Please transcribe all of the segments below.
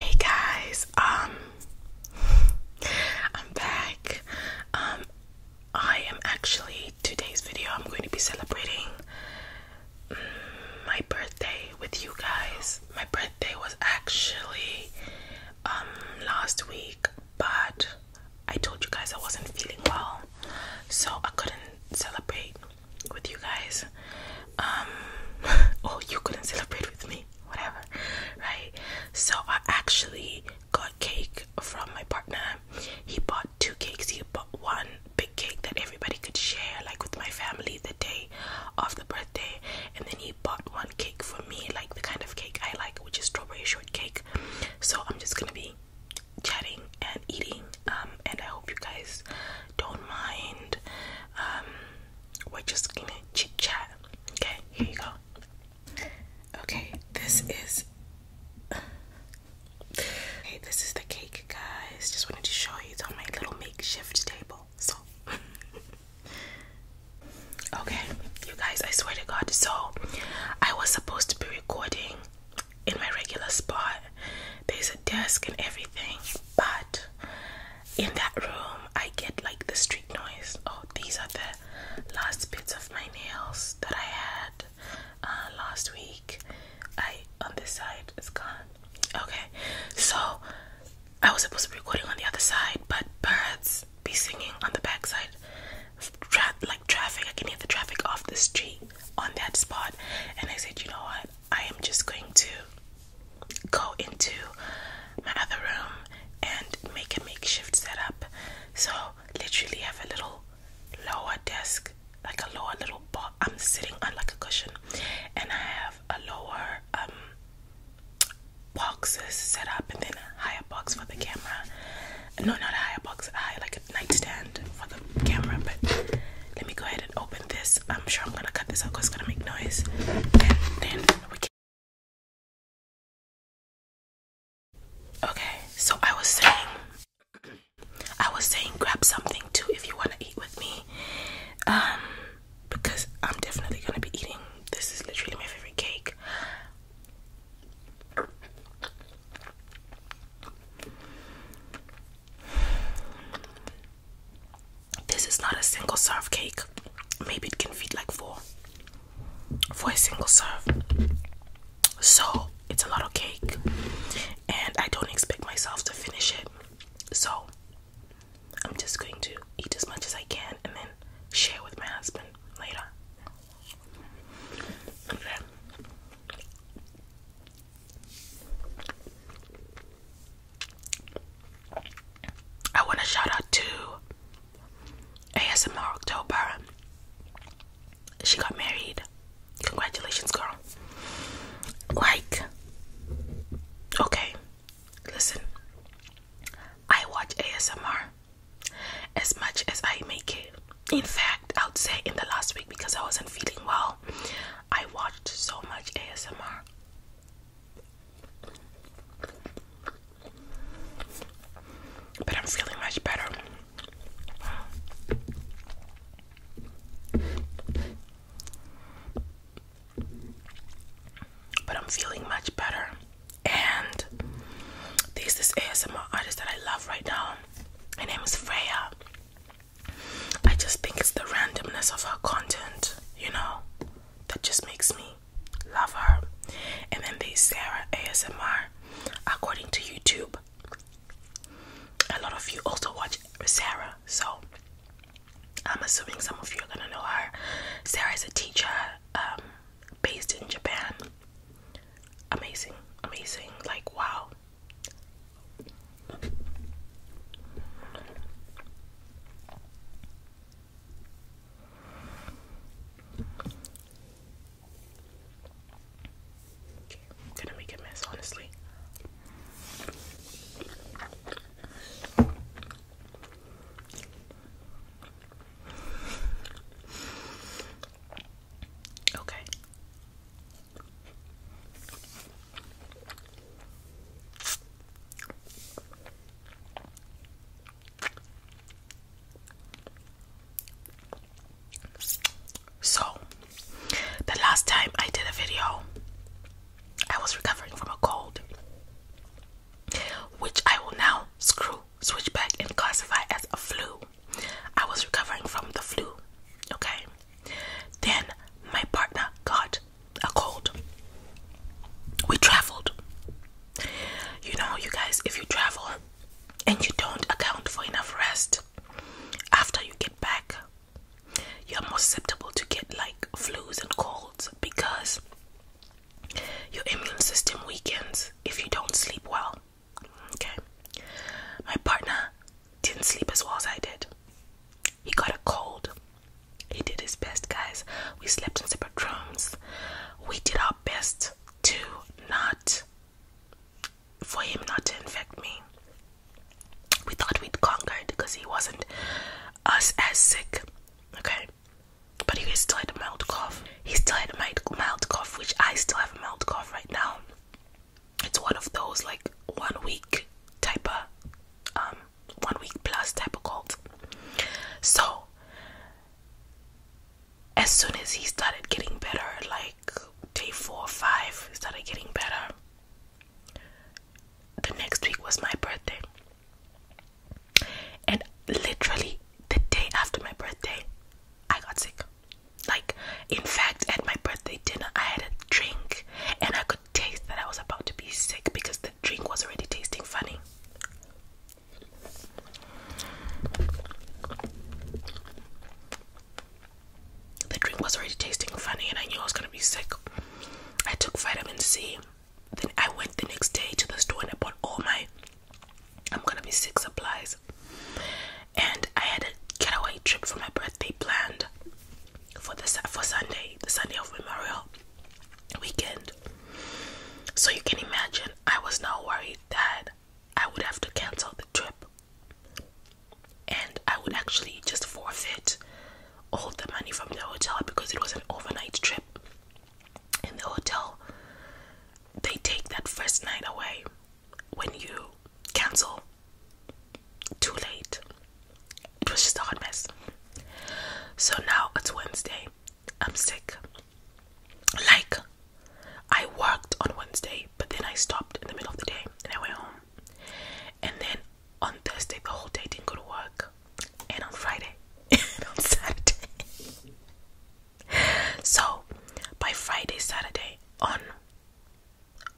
Hey guys, um I'm back. Um I am actually today's video I'm going to be celebrating mm, my birthday with you guys. My birthday was actually um last week, but I told you guys I wasn't feeling well, so I couldn't celebrate with you guys um oh you couldn't celebrate with me whatever right so i actually got cake from my partner he bought two cakes he bought one big cake that everybody could share like with my family the day of the birthday and then he bought one cake for me like the kind of cake i like which is strawberry shortcake so i'm just gonna be chatting and eating um and i hope you guys don't mind um we're just gonna chit chat. Okay, here you go. Okay, this is. Okay, this is the cake, guys. Just wanted to show you. It's on my little makeshift table. So. okay, you guys, I swear to God. So, I was supposed to be recording in my regular spot. There's a desk and everything, but in that room, I get like the street noise. Oh, these are the last bits of my nails that I had uh, last week. I on this side is gone. Okay, so I was supposed to be recording on the other side, but birds be singing on the backside. like traffic, I can hear the traffic off the street on that spot, and I said, you know what? I am just going to go into my other room and make a makeshift setup. So, literally, have a little lower desk, like a lower little bar. I'm sitting on like a cushion, and I have a lower um boxes set up, and then a higher box for the camera. No, not a higher box, I high, like a nightstand for the camera, but let me go ahead and open this. I'm sure I'm gonna cut this out because it's gonna make noise. Okay, so I was saying, I was saying, grab something too if you wanna eat with me, um, because I'm definitely gonna be eating. This is literally my favorite cake. This is not a single serve cake. Maybe it can feed like four for a single serve. So it's a lot of cake, and I don't expect myself to finish it. So I'm just going to eat as much as I can and then share with my husband later. I want to shout out to ASMR October. She got married. Congratulations, girl. Like, okay, listen. I watch ASMR as much as I make it. In fact, I would say in the last week because I wasn't feeling well, I watched so much ASMR. But I'm feeling much better. But I'm feeling much better. And this this ASMR artist that I love right now. Her name is Freya. I just think it's the randomness of her content, you know, that just makes me love her. And then there's Sarah ASMR, according to YouTube. A lot of you also watch Sarah, so I'm assuming some of you are gonna know her. Sarah is a teacher um, based in Japan. Amazing, amazing, like wow. I'm gonna make a mess, honestly. Okay. So, the last time I did a video, I was recovering from a cold, which I will now screw, switch back, and classify as a flu. I was recovering from the flu, okay? Then my partner got a cold. We traveled. You know, you guys, if you travel and you don't account for enough rest after you get back, you're more susceptible to get like flus and colds because your immune system weakens if you don't sleep well. Okay, my partner didn't sleep as well as I did. He got a cold. He did his best, guys. We slept in separate rooms. We did our best to not, for him not to infect me. We thought we'd conquered because he wasn't us as sick, okay? But he still had a mild cough. He still had a mild cough, which I still have a mild cough right now it's one of those like one week type of um one week plus type of cold. So as soon as he started getting better, like day four five started getting better. The next week was my birthday. And literally the day after my birthday, I got sick. Like, in fact, at my birthday dinner, I had a drink and I could taste that I was about to be sick because the drink was already tasting funny. The drink was already tasting funny, and I knew I was gonna be sick. I took vitamin C. Then I went the next day to the store and I bought all my I'm gonna be sick supplies. And I had a getaway trip for my birthday planned for the for Sunday, the Sunday of Memorial weekend. So you can imagine, I was now worried that I would have to cancel the trip, and I would actually just forfeit all the money from the hotel because it was an overnight trip. In the hotel, they take that first night away when you cancel too late. It was just a hot mess. So now it's Wednesday. I'm sick. Like, I worked on Wednesday, but then I stopped in the middle of the day and I went home. And then on Thursday, the whole day didn't go to work. And on Friday, and on Saturday. so by Friday, Saturday, on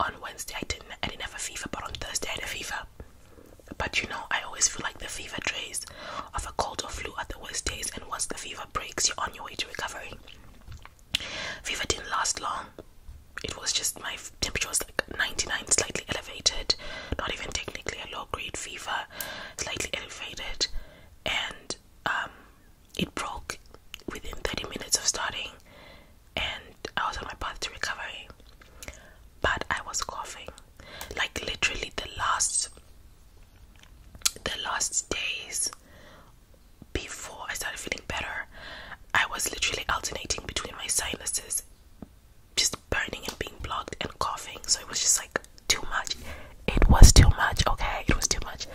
on Wednesday I didn't I didn't have a fever, but on Thursday I had a fever. But you know, I always feel like the fever trace of a cold or flu are the worst days, and once the fever breaks, you're on your way to recovery. Fever didn't last long. It was just my temperature was like 99, slightly elevated, not even technically a low grade fever, slightly elevated, and um, it broke within 30 minutes of starting and I was on my path to recovery, but I was coughing like literally the last the last days before I started feeling better. I was literally alternating between my sinuses just burning and being blocked and coughing, so it was just like too much. It was too much, okay? It was too much,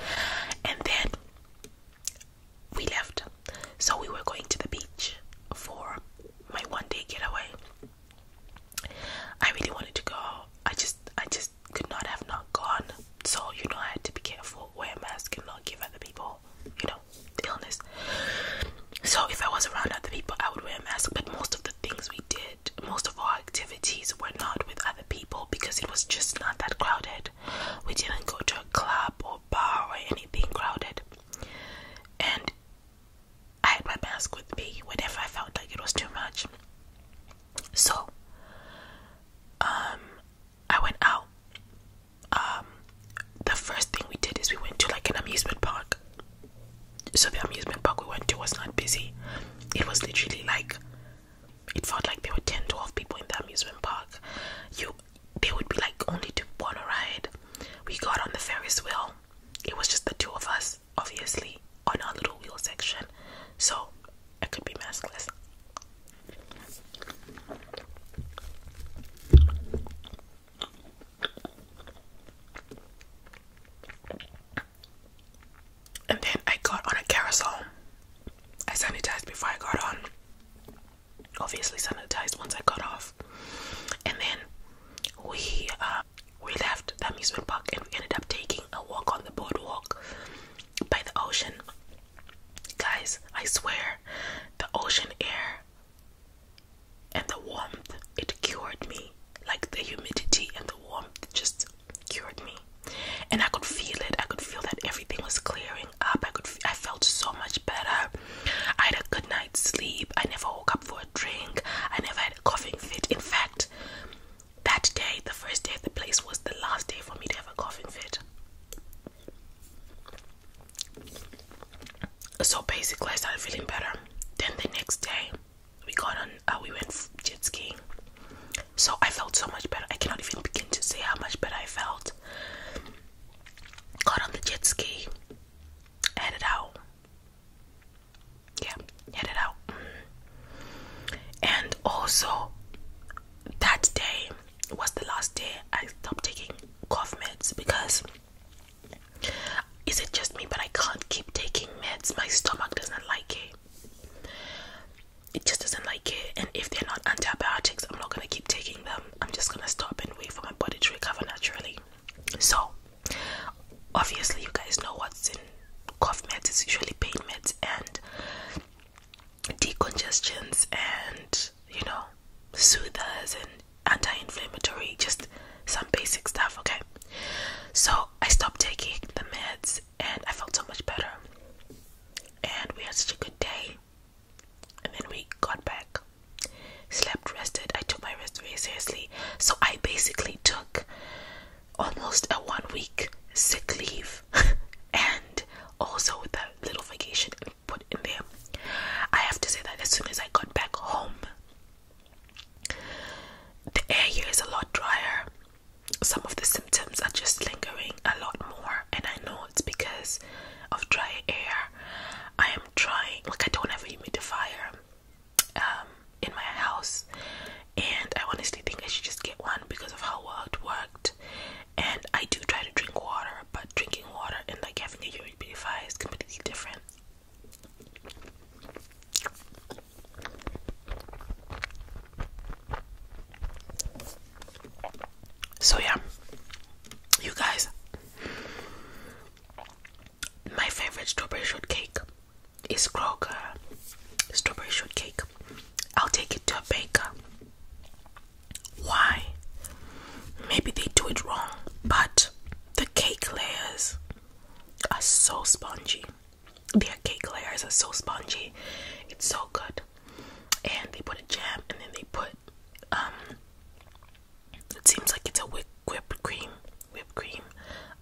and then we left. So we were going to the beach for my one day getaway. I really wanted to go. I just I just could not have not gone. So you know I had to be careful, wear a mask and not give other people, you know, illness. So if I was around other people I would wear a mask. But most of the things we did, most of our activities were not with other people because it was just not that crowded. We didn't go to a club or bar or anything crowded. And I had my mask with me whenever I felt like it was too much. So um I went out. Um the first thing we did is we went to like an amusement park. So the amusement park we went to was not busy. It was literally like it felt like there were 10 12 people in the amusement park. You there would be like only two on a ride. We got on the Ferris wheel. It was just the two of us, obviously, on our little wheel section. So I could be maskless. And then I got on a carousel. I sanitized before I got on obviously sanitized once I got off. And then we uh, we left the amusement park and we ended up taking a walk on the boardwalk by the ocean. Guys, I swear, the ocean air and the warmth it cured me. Like the humidity and the warmth just cured me. And I could feel it. I could feel that everything was clear up. I could, I felt so much better. I had a good night's sleep. I never woke up for a drink. I never had a coughing fit. In fact, that day, the first day at the place, was the last day for me to have a coughing fit. So basically, I started feeling better. Then the next day, we got on. Uh, we went jet skiing. So I felt so much better. I cannot even begin to say how much better I felt. Got on the jet ski. Headed out. Yeah, headed out. And also, that day was the last day I stopped taking cough meds because is it just me? But I can't keep taking meds. My stomach doesn't like it it just doesn't like it. And if they're not antibiotics, I'm not gonna keep taking them. I'm just gonna stop and wait for my body to recover naturally. So, obviously, you guys know what's in cough meds. It's usually pain meds and decongestions, and you know, soothers and anti-inflammatory. Just some basic stuff. Okay. So I stopped taking the meds and I felt so much better. And we had such a good day. And then we got back, slept, rested. I took my rest very seriously. So I basically took almost a one week sick leave and also with that little vacation put in there. I have to say that as soon as I got back home, the air here is a lot drier some of the symptoms are just lingering a lot more, and I know it's because of dry air. I am trying, like, I don't have a humidifier um, in my house, and I honestly think I should just get one because of how well it worked. And I do try to drink water, but drinking water and like having a humidifier is completely different. So yeah, you guys, my favorite strawberry shortcake is Kroger strawberry shortcake. I'll take it to a baker. Why? Maybe they do it wrong, but the cake layers are so spongy. The cake layers are so spongy. It's so good and they put a jam and then they put um, it seems like it's a whipped cream whipped cream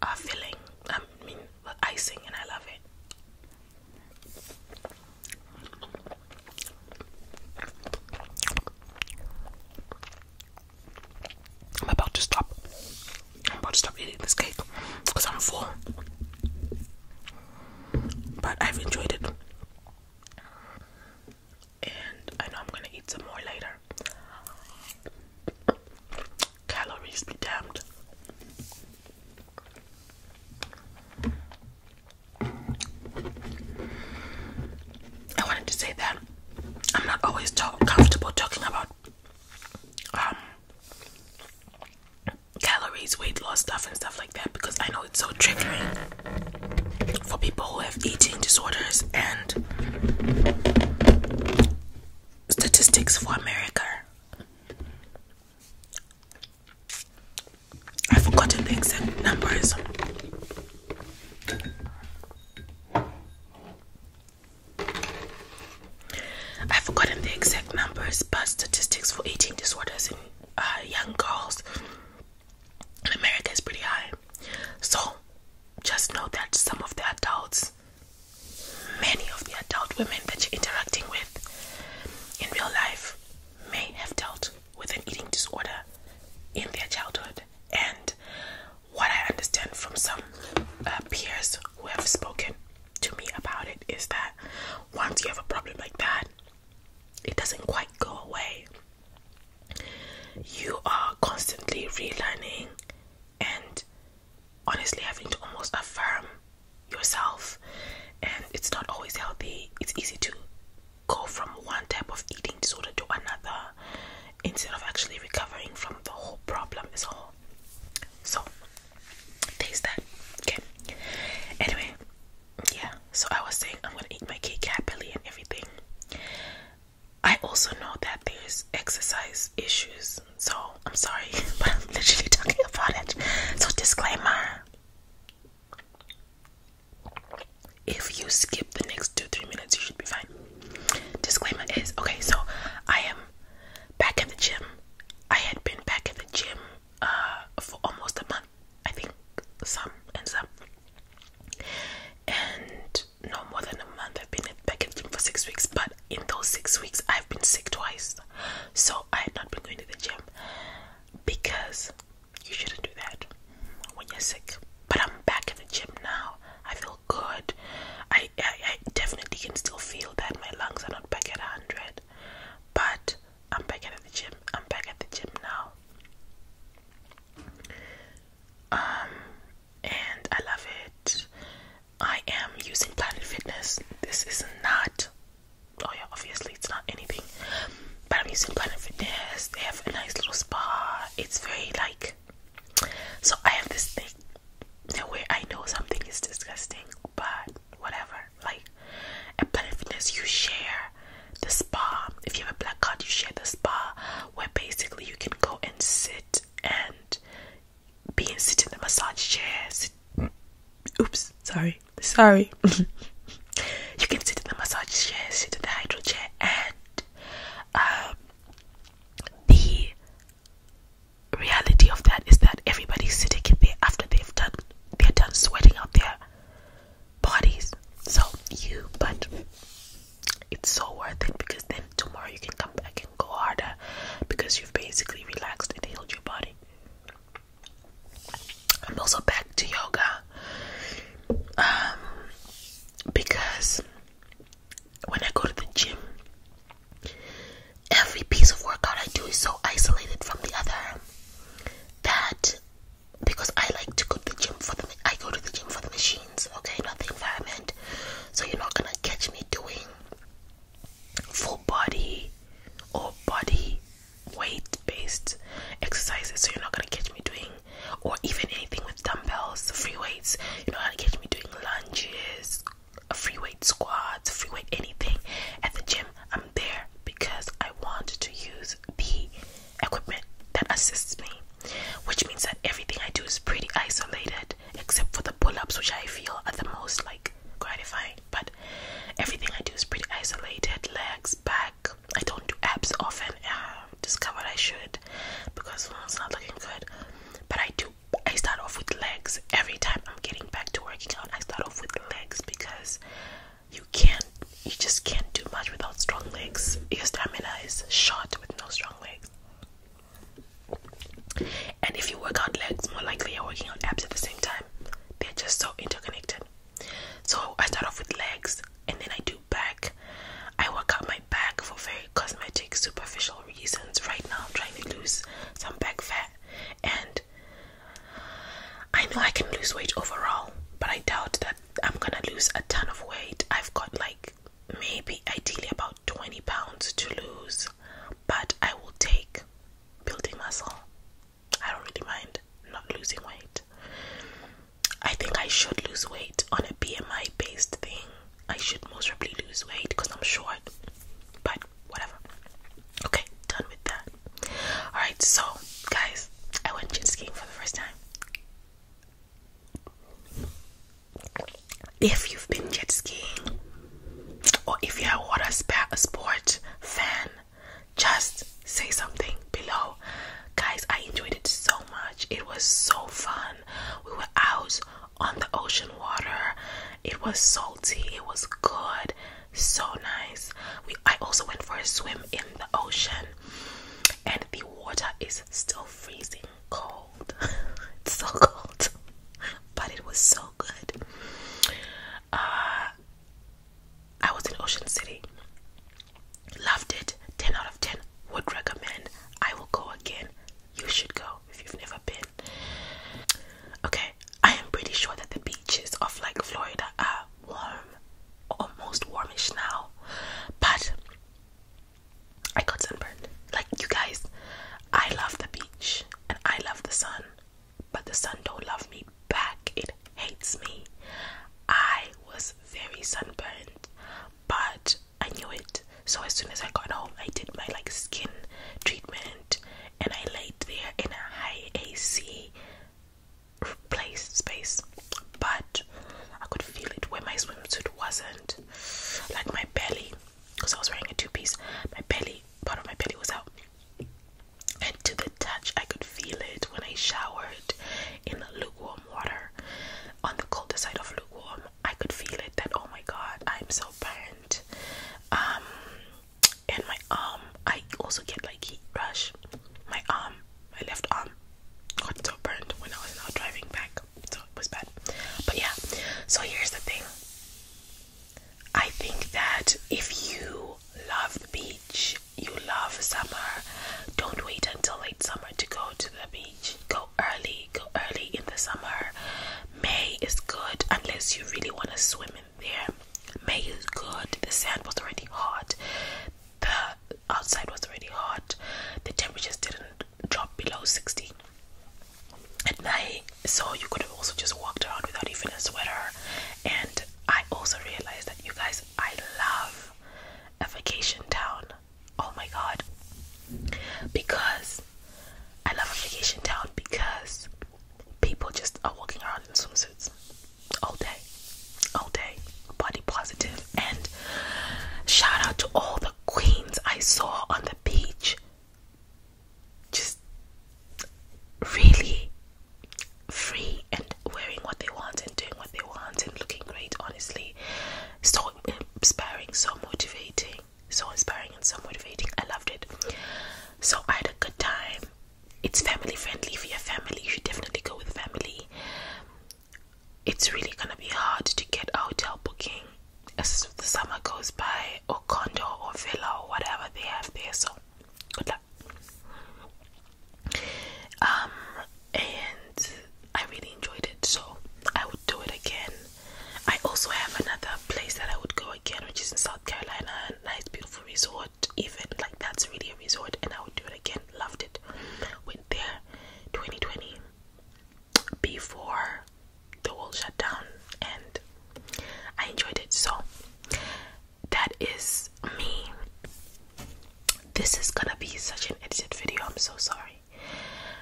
uh, filling i mean uh, icing and i love it i'm about to stop i'm about to stop eating this cake because i'm full but I've enjoyed it. And I know I'm gonna eat some more later. Calories be damned. I wanted to say that I'm not always comfortable talking about um, calories, weight loss stuff, and stuff like that because I know it's so triggering for people who have eating disorders and statistics for America. i forgot forgotten the exact numbers. I've forgotten the exact numbers, but statistics for eating disorders in uh, young girls in America is pretty high. So just know that some of the adults, many of the adult women that you're interacting with in real life, may have dealt with an eating disorder in their childhood. And what I understand from some uh, peers who have spoken to me about it is that once you have a problem like that, it doesn't quite go away. You are constantly relearning and honestly having to almost affirm yourself, and it's not always healthy. It's easy to go from one type of eating disorder to another instead of actually recovering from the whole problem as a whole. So, taste that. Okay. Anyway, yeah. So I was saying I'm gonna eat my cake happily and everything. I also know that there's exercise issues, so I'm sorry, but I'm literally talking about it. So disclaimer. If you skip the next two, three minutes, you should be fine. Disclaimer is okay, so I am back at the gym. I had been back at the gym uh, for almost a month, I think some and some, and no more than a month. I've been back at gym for six weeks, but in those six weeks, I've been sick twice, so I had not been going to the gym because you shouldn't do that when you're sick. But I'm back at the gym now. I feel good. I, I definitely can still feel that my lungs are not back at hundred. But I'm back at the gym. I'm back at the gym now. Um, and I love it. I am using Planet Fitness. This is not, oh yeah, obviously it's not anything, but I'm using Planet Fitness. They have a nice little spa. It's very like, so I have this thing where I know something is disgusting, but whatever. Like at Planet Fitness, you share the spa. If you have a black card, you share the spa where basically you can go and sit and be and sit in the massage chair. oops, sorry, sorry. you can sit in the massage chair, sit in the hydro chair, and um, the reality of that is that everybody's sitting in there after they've done they're done sweating out their bodies. So you but it's so worth it because then tomorrow you can come back and go harder because you've basically relaxed and healed your body. i also back to yoga um, because when I go to the gym, every piece of workout I do is so isolated from the other that because I like to go to the gym for the I go to the gym for the machines, okay, not the environment. So you're not gonna catch me doing full body or body weight based exercises. So you're not gonna catch me doing or even anything with dumbbells, free weights. You're not gonna catch me doing lunges, free weight squats, free weight anything at the gym, I'm there because I want to use the equipment that assists me, which means that everything I do is pretty isolated except for the pull ups, which I feel are the most like gratifying. But everything I do is pretty isolated legs, back. I don't do abs often. Uh, discovered I should because well, it's not looking good, but I do I start off with legs every time I'm getting back to working out. I start off with legs because you can't, you just can't do much without strong legs. Your stamina is shot with no strong legs. And if you work out legs, more likely you're working out abs at the same time. They're just so interconnected. So I start off with legs and then I do back. I work out my back for very cosmetic, superficial reasons. Right now, I'm trying to lose some back fat. And I know I can lose weight overall, but I doubt that I'm gonna lose a ton of weight. I've got like maybe ideally about 20 pounds to lose, but I will take building muscle. I don't really mind not losing weight. I think I should lose weight on a BMI based thing I should most probably lose weight because I'm short, but whatever. Okay, done with that. Alright, so guys, I went jet skiing for the first time. If you've been jet skiing or if you're a water sport fan, just say something below. Guys, I enjoyed it so much. It was so fun. We were out on the ocean water. It was salty, it was good, so nice. I also went for a swim in the ocean, and the water is still freezing cold. it's so cold, but it was so good. Uh, I was in Ocean City, loved it. 10 out of 10 would recommend. I will go again you should go if you've never been. Okay, I am pretty sure that the beaches of like Florida are warm, almost warmish now, but I got sunburned. Like, you guys, I love the beach and I love the sun, but the sun don't love me back, it hates me. I was very sunburned, but I knew it. So as soon as I got home, I did my like skin treatment and I laid there in a high AC place space, but I could feel it where my swimsuit wasn't like my belly because I was wearing a two piece, my belly part of my belly was out, and to the touch, I could feel it when I showered in lukewarm water on the colder side of lukewarm. I could feel it that oh my god, I'm so bad. Um, and my arm i also get like heat rush my arm my left arm got so burned when i was now driving back so it was bad but yeah so here's the thing i think that if you love the beach you love summer don't wait until late summer to go to the beach go early early, go early in the summer. May is good unless you really want to swim in there. May is good. The sand was already hot. The outside was already hot. The temperatures didn't drop below 60 at night, so you could have also just walked around without even a sweater. And I also realized that you guys, I love a vacation town. Oh my god. Because I love a vacation town because people just are walking around in swimsuits all day, all day, body positive. And shout out to all the queens I saw on the beach, just really free and wearing what they want and doing what they want and looking great, honestly. So inspiring, so motivating so inspiring and so motivating. I loved it. So I had a good time. It's family friendly for your family. You should definitely go with family. It's really gonna be hard to get a hotel booking as the summer goes by, or condo or villa or whatever they have there. So good luck. Um, and I really enjoyed it, so I would do it again. I also have another place that I would go again, which is in South Carolina, a nice, beautiful resort. Even like that's really a resort, and I would do it again. Loved it. Went there 2020 before the world shut down, and I enjoyed it. So, that is me. This is gonna be such an edited video. I'm so sorry.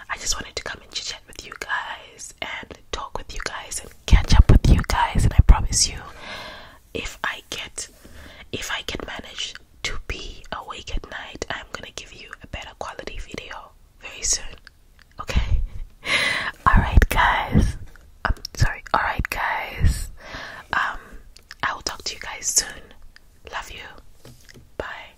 I just wanted to come and chit chat with you guys and talk with you guys and catch up with you guys. And I promise you, if I get, if I can manage to be awake at night, I'm gonna give you a better quality video very soon. Okay. All right, guys. I'm sorry. All right, guys. Um, I will talk to you guys soon. Love you. Bye.